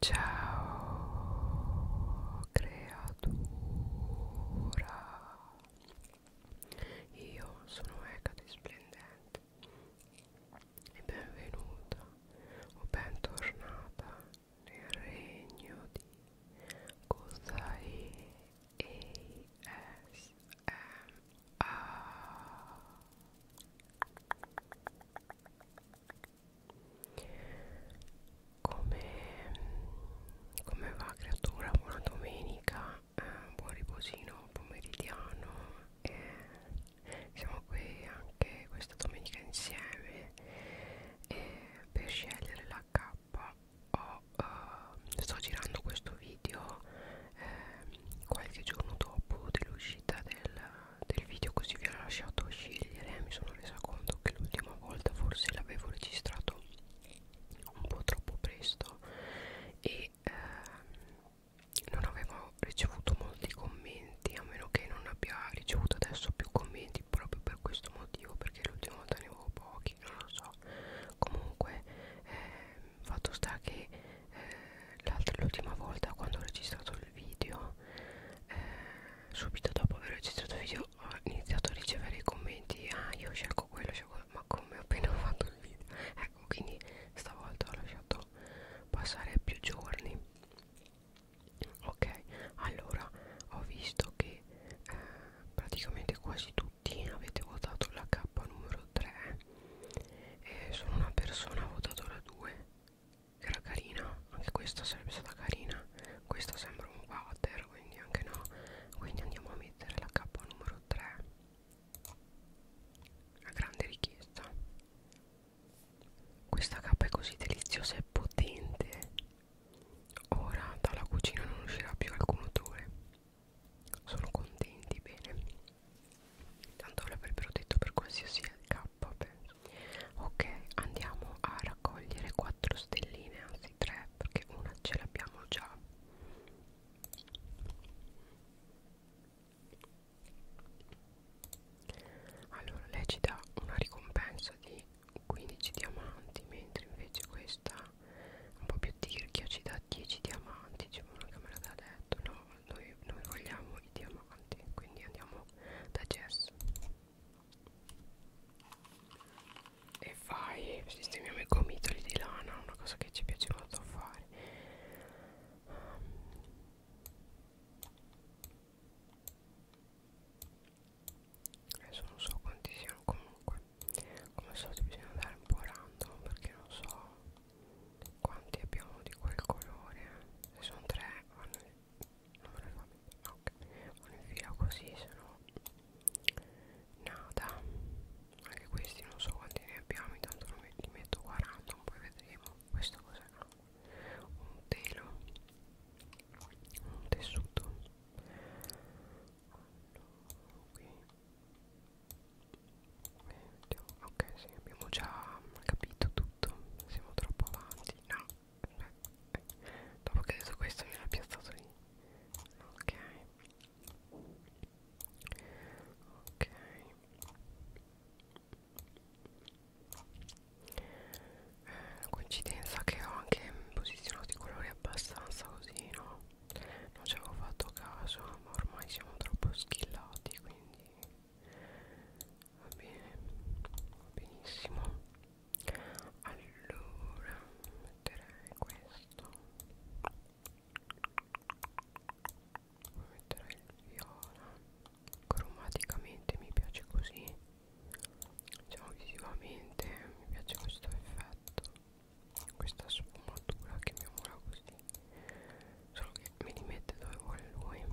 Ciao creatura, io sono Ecate Splendente e benvenuta o bentornata nel regno di Kozai ASMR come, come va creatura buona domenica eh, buon riposino pomeridiano eh, siamo qui anche questa domenica insieme eh, per scegliere la K ho, eh, sto girando questo video eh, qualche giorno dopo dell'uscita del del video così vi ho lasciato scegliere mi sono resa conto che l'ultima volta forse l'avevo registrato un po' troppo presto e ehm, non avevo ricevuto molti commenti a meno che non abbia ricevuto adesso più commenti proprio per questo motivo perché l'ultima volta ne avevo pochi non lo so comunque ehm, fatto sta che eh, l'ultima volta quando ho registrato il video video eh, subito dopo aver registrato il video ho iniziato a ricevere i commenti ah io scelgo quello scelgo quello. ma come ho appena fatto il video ecco quindi stavolta ho lasciato passare più giorni ok allora ho visto che eh, praticamente quasi tutti avete votato la K numero 3 eh, sono una persona ha votato la 2 era carina anche questa sarebbe stata carina questa sembra un water quindi anche no quindi andiamo a mettere la k numero 3 la grande richiesta questa K è così deliziosa e potente ora dalla cucina non uscirà più alcun odore sono contenti bene tanto l'avrebbero detto per qualsiasi LK penso. ok andiamo a raccogliere 4 stelline anzi 3 perché una ce l'abbiamo già allora lei ci dà una ricompensa di 15 diamanti mentre invece questa un po' più tirchia ci dà 10 diamanti ci vuole che me l'ha detto no noi, noi vogliamo i diamanti quindi andiamo da Jess e vai sistemiamo i gomitoli di lana una cosa che ci piace molto fare um. adesso non so quanti siano comunque come al solito bisogna andare un po' random perché non so quanti abbiamo di quel colore? Se sono tre, vanno in... non me ne fa no, okay. vanno in fila così, se no nada. Anche questi non so quanti ne abbiamo, intanto non li metto 40, poi vedremo. Questo cos'è? Un telo, un tessuto. Allora, qui. Eh, ok, sì, abbiamo già capito tutto tutto siamo troppo avanti no dopo che ho detto questo mi era piazzato lì ok ok eh, coincidenza che ho anche posizionato i colori abbastanza così no non ci avevo fatto caso ma ormai siamo troppo schillati quindi va bene va benissimo allora metterei questo poi metterei il viola cromaticamente mi piace così diciamo visivamente mi piace questo effetto questa sfumatura chiamiamola così solo che me li mette dove vuole lui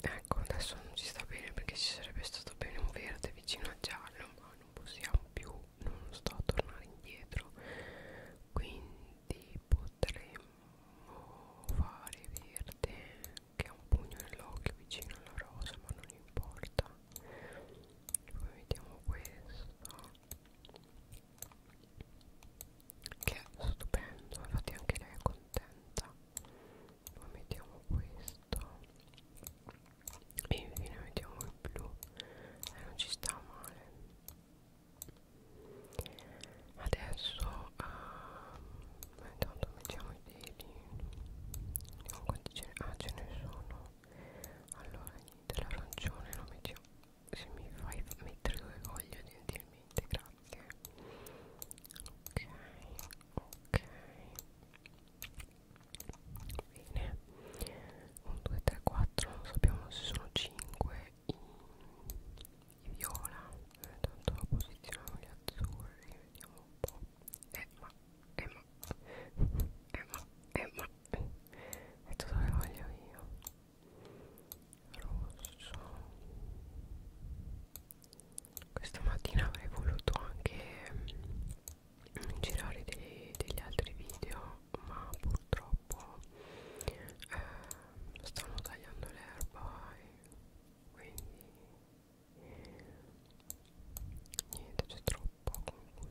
Ecco adesso non ci sta bene perché ci sarebbe stato bene un verde vicino a giallo ma non possiamo più, non sto a tornare indietro quindi potremmo fare verde che ha un pugno nell'occhio vicino alla rosa ma non importa poi vediamo questo che è stupendo infatti anche lei è contenta poi mettiamo questo e infine mettiamo il blu e eh, non ci sta male adesso uh, intanto mettiamo i deli vediamo quanti ce ne, ah, ce ne sono allora dell'arancione non mi dico, se mi fai mettere dove voglio gentilmente grazie ok ok bene 1 2 3 4 non sappiamo se sono 5 i, i viola eh, tanto posizioniamo gli azzurri vediamo un po' eh ma eh ma eh ma eh ma metto dove voglio io rosso questa mattina avrei voluto anche mh, mm, girare dei, degli altri video ma purtroppo eh, stanno tagliando l'erba quindi niente c'è troppa confusione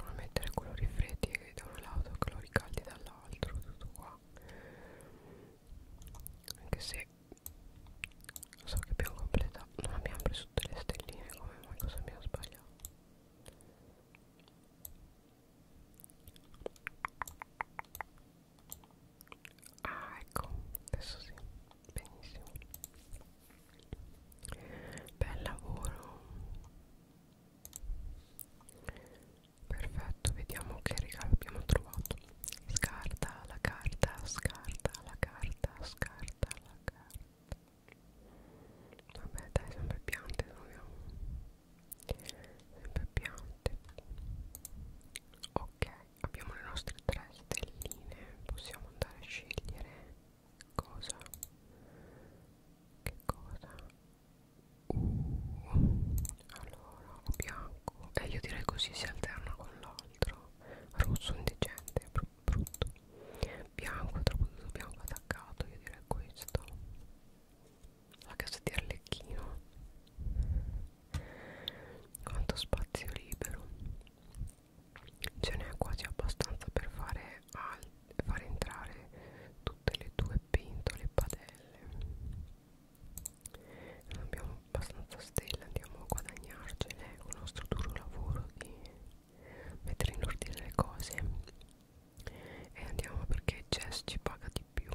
Ora mettere colori freddi da un lato e colori caldi dall'altro, tutto qua. Anche se lo so che abbiamo completato, non abbiamo preso tutte le stelline, come mai cosa abbiamo sbagliato? ah ecco adesso sì benissimo bel lavoro perfetto vediamo che regalo abbiamo trovato scarta la carta scarta la carta scarta la carta Vabbè dai, sempre piante troviamo. Sempre piante. Ok ok abbiamo le nostre tre stelline possiamo andare a scegliere cosa che cosa uh, allora o bianco e eh, io direi così si alterna con l'altro rosso indigente br brutto bianco troppo tutto bianco attaccato io direi questo la casa di Arlecchino quanto spazio libero ce n'è quasi abbastanza per fare, fare entrare tutte le tue pentole e padelle non abbiamo abbastanza stelle andiamo a guadagnarcene con il nostro duro lavoro di mettere in ordine le cose e andiamo perché Jess ci paga di più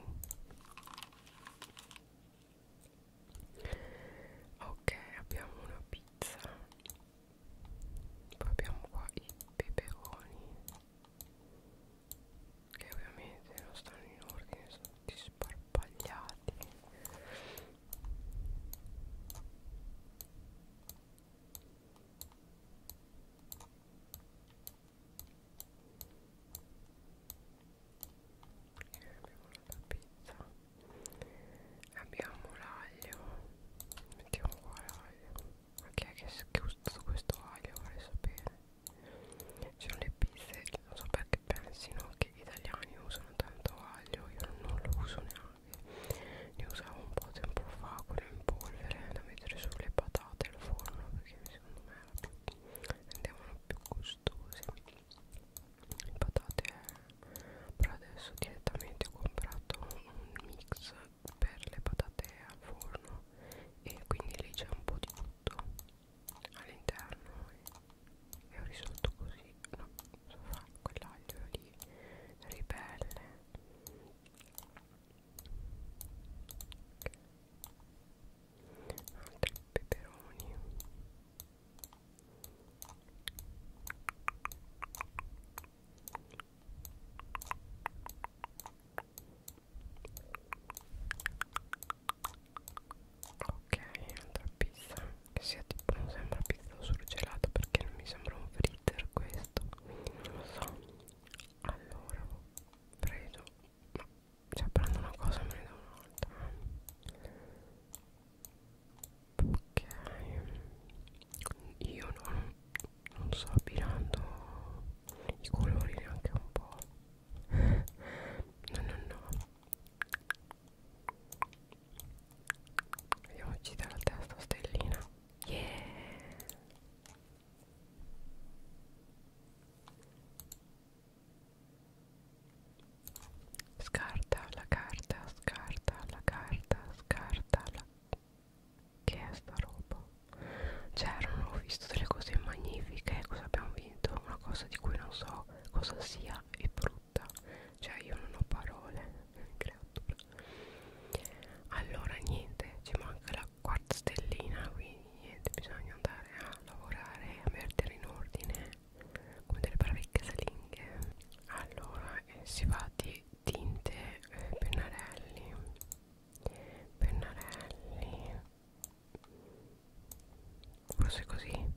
ok abbiamo una pizza poi abbiamo qua i peperoni che ovviamente non stanno in ordine sono tutti sparpagliati abbiamo la pizza abbiamo l'aglio mettiamo qua l'aglio ma chi è che ha usato questo aglio vorrei sapere ci sono le pizze non so perché pensino che gli italiani usano tanto aglio io non lo uso neanche ne usavo un po' tempo fa quello in polvere da mettere sulle patate al forno perché secondo me verdi rendevano più gustosi le patate però adesso direttamente ho comprato un mix per le patate al forno e quindi lì c'è un po' di tutto all'interno e ho risolto così no, so fa quell'aglio lì ribelle altri peperoni ok altra pizza che sia tipo non sembra pizza surgelata perché non mi sembra un fritter questo non lo so allora ho preso ma cioè prendo una cosa e me ne do un'altra ok io non, non sto abbinando i colori neanche un po' no no no vediamo ci dà la testa stellina yeah Scarta la carta, scarta la carta, scarta la... Che è sta roba? C'erano, cioè, ho visto delle cose magnifiche, cosa abbiamo vinto? Una cosa di cui non so cosa sia e brutta. Cioè io non ho parole. Creatura. Allora niente, ci manca la la quarta stellina quindi niente bisogna andare a lavorare a mettere in ordine come delle parecchie salinghe allora eh, si va di tinte eh, pennarelli pennarelli forse così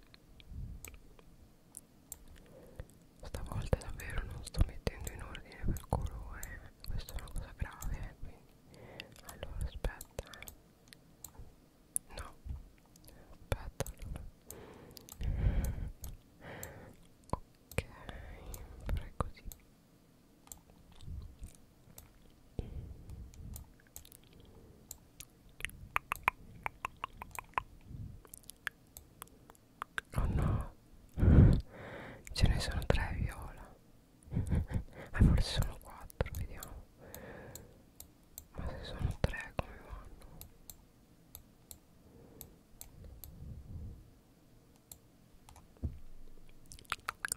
stavolta davvero non sto mettendo in ordine per colore questa è una cosa grave quindi allora aspetta eh. No Aspetta allora Ok Farei così Oh no, ce ne sono tre viola eh forse sono 4 vediamo ma se sono 3 come vanno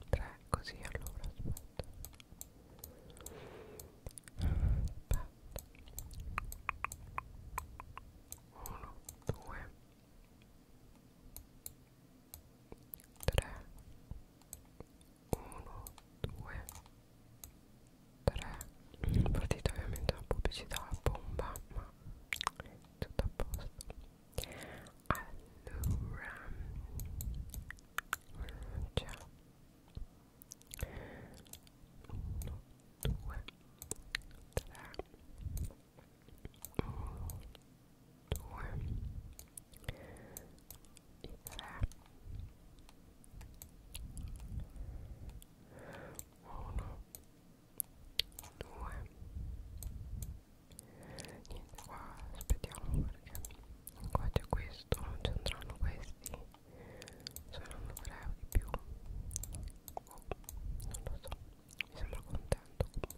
tre così allora aspetta aspetta uno due 3 1 2 3 partita ovviamente la pubblicità la bomba ma tutto a posto allora c'è 1 2 3 1 2 3 due i tre uno due niente qua aspettiamo perché qua c'è questo non ci andranno questi saranno 3 euro di più oh, non lo so mi sembra contento comunque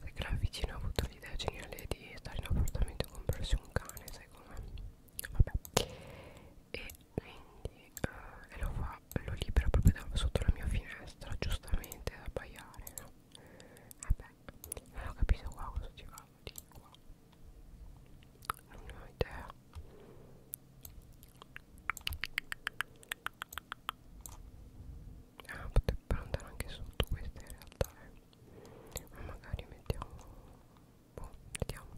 perché la vicina ha avuto l'idea geniale di stare in appartamento e comprarsi un cane sai com'è vabbè e quindi uh, e lo fa lo libera proprio da, sotto la mia finestra giustamente da abbaiare no? vabbè non ho capito qua cosa ci va di qua non ne ho idea Ah, poteva per andare anche sotto questa in realtà eh. ma magari mettiamo boh, vediamo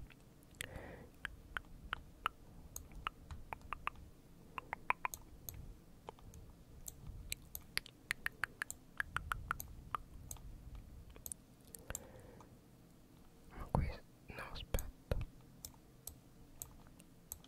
ma questo no aspetta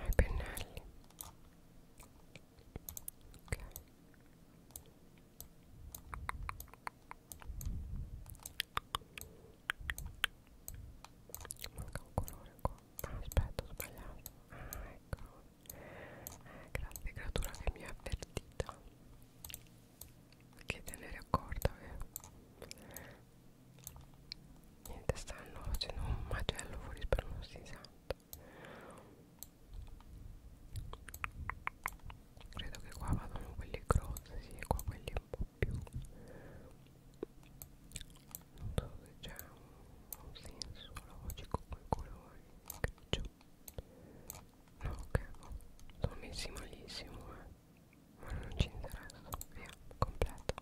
ai pennelli ok manca un colore qua ah, aspetta ho sbagliato ah ecco eh, grazie creatura che mi ha avvertita che tenere a corda eh? niente stanno facendo un macello fuori per uno santo credo che qua vadano quelli grossi sì, e qua quelli un po' più non so se c'è un, un senso logico con i colori grigio no ok no. sono messi malissimo eh ma non ci interessa via completo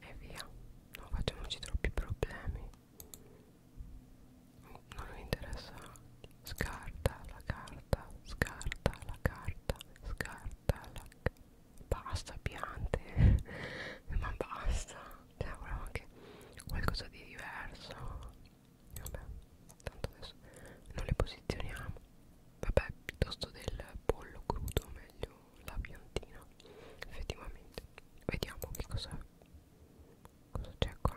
e via non facciamoci troppi problemi non mi interessa scarta la carta scarta la carta scarta la basta piante ma basta cioè volevo anche qualcosa di diverso vabbè tanto adesso non le posizioniamo vabbè piuttosto del pollo crudo meglio la piantina effettivamente vediamo che cosa cosa c'è qua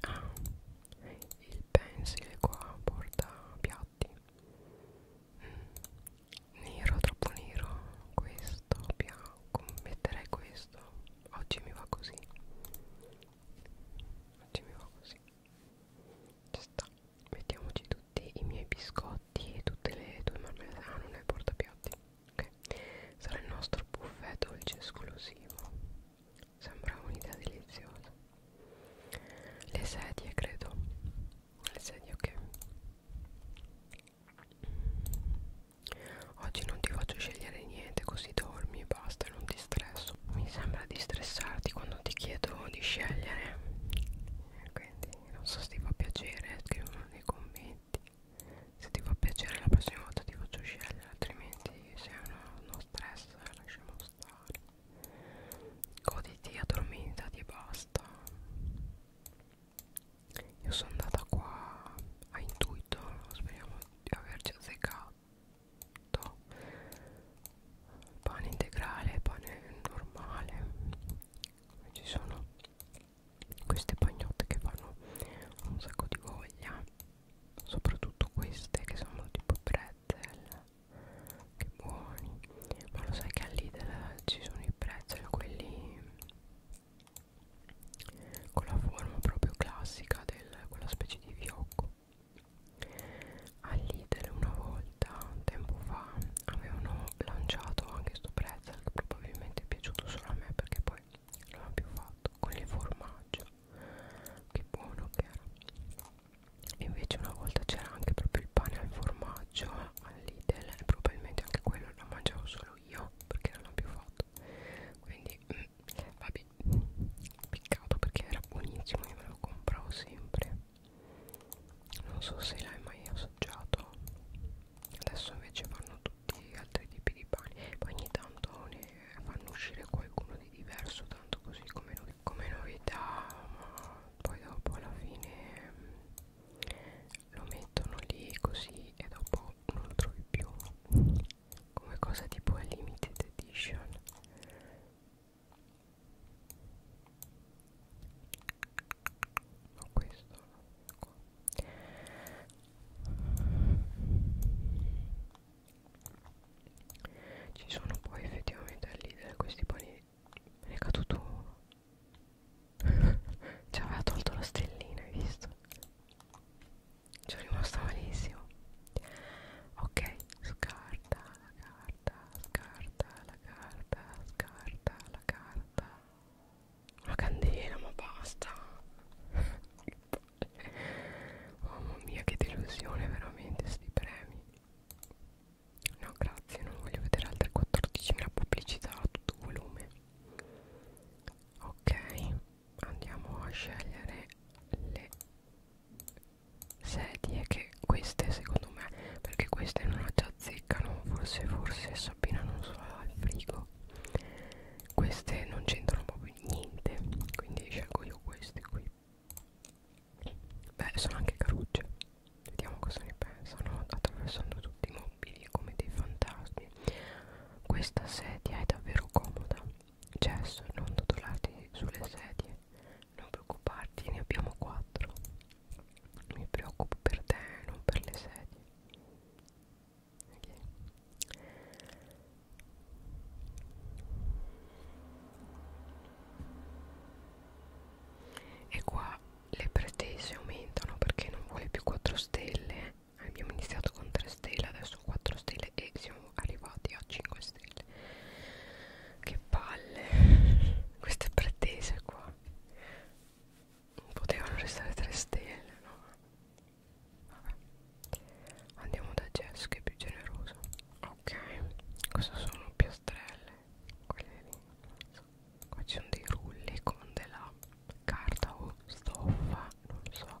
ah il pensile qua porta piatti mm, nero troppo nero questo bianco metterei questo oggi mi va così oggi mi va così ci sta mettiamoci tutti i miei biscotti e tutte le tue marmellate ah non è il portapiatti ok sarà il nostro buffet dolce esclusivo sembra un'idea deliziosa le sedie credo le sedie ok oggi non ti faccio scegliere niente così dormi e basta non ti stresso posto mi sembra di stressarti quando ti chiedo di scegliere quindi non so se ti fa piacere scrivimelo nei commenti se ti fa piacere la prossima volta ti faccio scegliere altrimenti se è uno, uno stress lasciamo stare goditi addormentati e basta io sono andata qua a intuito speriamo di averci azzeccato to. pane integrale, pane normale ci sono queste pagnotte che fanno un sacco di voglia soprattutto queste che sono tipo pretzel che buoni ma lo sai che all'Idel ci sono i pretzel quelli con la forma proprio classica del quella specie di fiocco all'Idel una volta tempo fa avevano lanciato anche sto pretzel che probabilmente è piaciuto solo a me perché poi non l'ho più fatto con il formaggio che buono che era e invece una volta c'era anche proprio il pane al formaggio all'Idel e probabilmente anche quello lo mangiavo solo io perché non l'ho più fatto quindi mm, vabbè peccato perché era buonissimo io me lo compravo sempre non so se l'hai mai assaggiato adesso invece fanno tutti altri tipi di pane poi ogni tanto ne fanno uscire qualcuno di diverso tanto così come, no come novità ma poi dopo alla fine mm, lo mettono lì così e dopo non lo trovi più come cosa tipo limited edition no questo no, qua. ci sono poi effettivamente all'idea questi panini me ne è caduto uno ci aveva tolto la stellina hai visto ci è rimasto malissimo ok scarta la carta, scarta la carta, scarta la carta. La candela, ma basta. Mamma mia, che delusione veramente sti premi. No, grazie, non voglio vedere altre 14.000 pubblicità a tutto volume. Ok, andiamo a scegliere le sedie che queste secondo me perché queste non ci azzeccano forse forse Sabina non so al frigo queste non c'entrano proprio niente quindi scelgo io queste qui beh sono anche carucce vediamo cosa ne pensano attraversando tutti i mobili come dei fantasmi questa sedia è davvero comoda Cesso, non dodolarti sulle sedie, non preoccuparti, ne abbiamo quattro. Mi preoccupo per te, non per le sedie. Okay. E qua le pretese aumentano perché non vuole più 4 stelle. Abbiamo iniziato con 3 stelle, adesso 4 stelle e siamo siamo arrivati a 5 stelle che palle queste pretese qua non potevano restare 3 stelle no vabbè andiamo da Jess che è più generoso ok cosa sono piastrelle quelle lì so. qua ci sono dei rulli con della carta o stoffa non so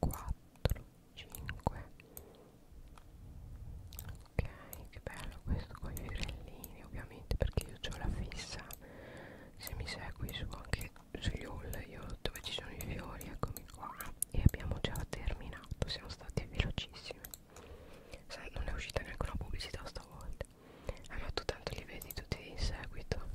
4 5 ok che bello questo con i fiorellini ovviamente perché io ho la fissa se mi segui su anche sugli haul io dove ci sono i fiori eccomi qua e abbiamo già terminato siamo stati velocissimi sai non è uscita neanche una pubblicità stavolta allora ah, tu tanto li vedi tutti in seguito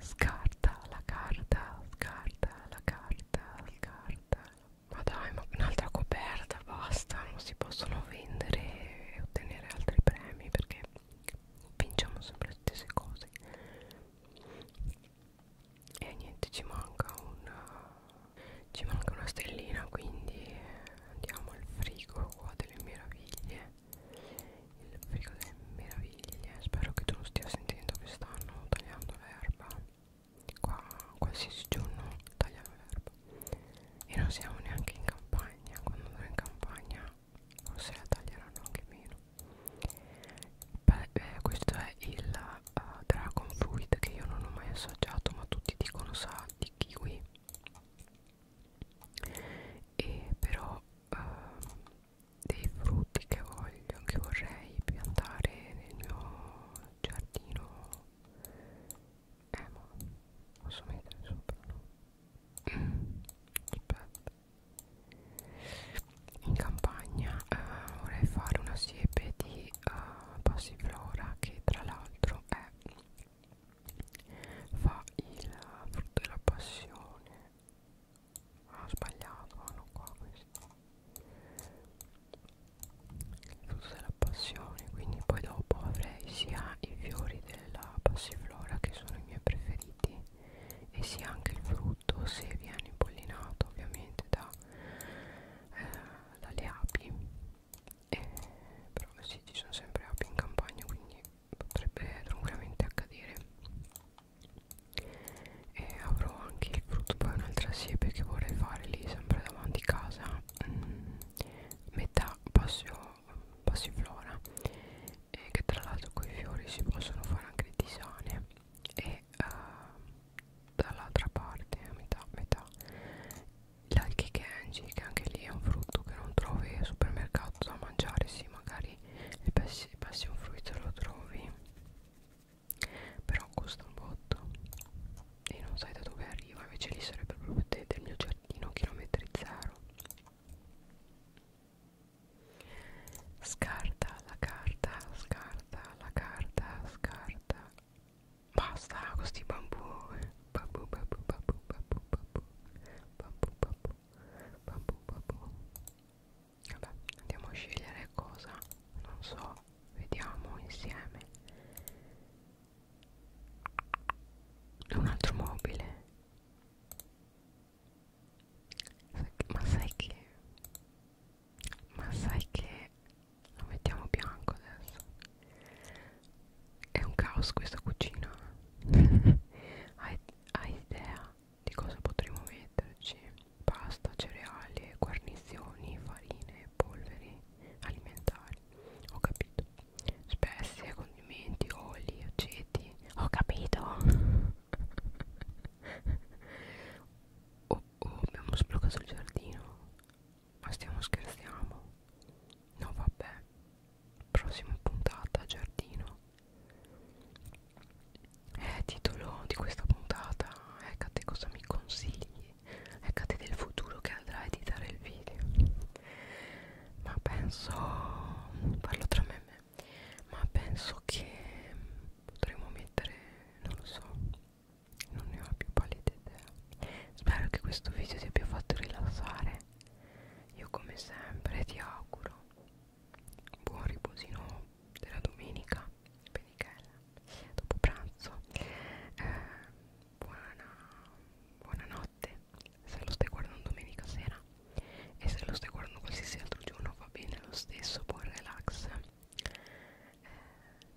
Scarta la carta, scarta la carta, scarta. Ma dai, ma un'altra coperta, basta. Non si possono vendere e ottenere altri premi perché vinciamo sempre le stesse cose. E niente, ci manca una, ci manca una stellina, quindi andiamo al frigo qua delle meraviglie il frigo delle meraviglie spero che tu lo stia sentendo che stanno tagliando l'erba qua qualsiasi giorno tagliano l'erba e non siamo neanche in campagna quando andrò in campagna forse la taglieranno anche meno Beh, eh, questo è il uh, dragon fruit che io non ho mai assaggiato ma tutti dicono sa di kiwi e però uh, dei frutti che voglio che vorrei piantare nel mio giardino eh ma posso mettere sopra no? aspetta in campagna eh, vorrei fare una siepe di eh, passiflora che tra l'altro è fa il frutto della passione Ah, ho sbagliato, non qua questo. Il frutto della passione, quindi poi dopo avrei sia i fiori della passiflora che sono i miei preferiti e sia anche il frutto se viene impollinato ovviamente da, eh, dalle api. Eh, però sì, ci sono sempre api in campagna, quindi potrebbe tranquillamente accadere e avrò anche il frutto poi un'altra siepe che vorrei fare lì sempre davanti casa mm, metà passio, passiflora e che tra l'altro con i fiori si possono fare anche le tisane e uh, dall'altra parte a metà metà l'alchikenji che anche lì è un frutto che non trovi al supermercato da mangiare sì magari il passion fruit lo trovi però costa un botto e non sai da dove arriva invece lì sarebbe proprio te, del mio giardino chilometri zero scarta la carta scarta la carta scarta basta questi eh. bambù bambù bambù bambù bambù bambù bambù bambù Babu, babu. Vabbè, andiamo a scegliere cosa. Non so, vediamo insieme. Un altro mobile. Ma sai che... Ma sai che... Lo mettiamo bianco adesso. È un caos questa cucina. hai, hai idea di cosa potremo metterci pasta, cereali, guarnizioni, farine, polveri alimentari ho capito spezie, condimenti, oli, aceti ho capito oh, oh abbiamo sbloccato il giardino ma stiamo scherzando no vabbè prossima puntata giardino eh, titolo di questa puntata Ecate ecco cosa mi consigli Ecate ecco del futuro che andrà a editare il video ma penso parlo tra me e me ma penso che potremmo mettere non lo so non ne ho più pallida idea spero che questo video ti abbia fatto rilassare io come sempre ti auguro buon riposino della domenica penichella dopo pranzo eh, buona, buonanotte se lo stai guardando domenica sera e se lo stai guardando qualsiasi altro giorno va bene lo stesso buon relax eh,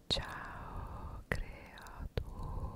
ciao creatura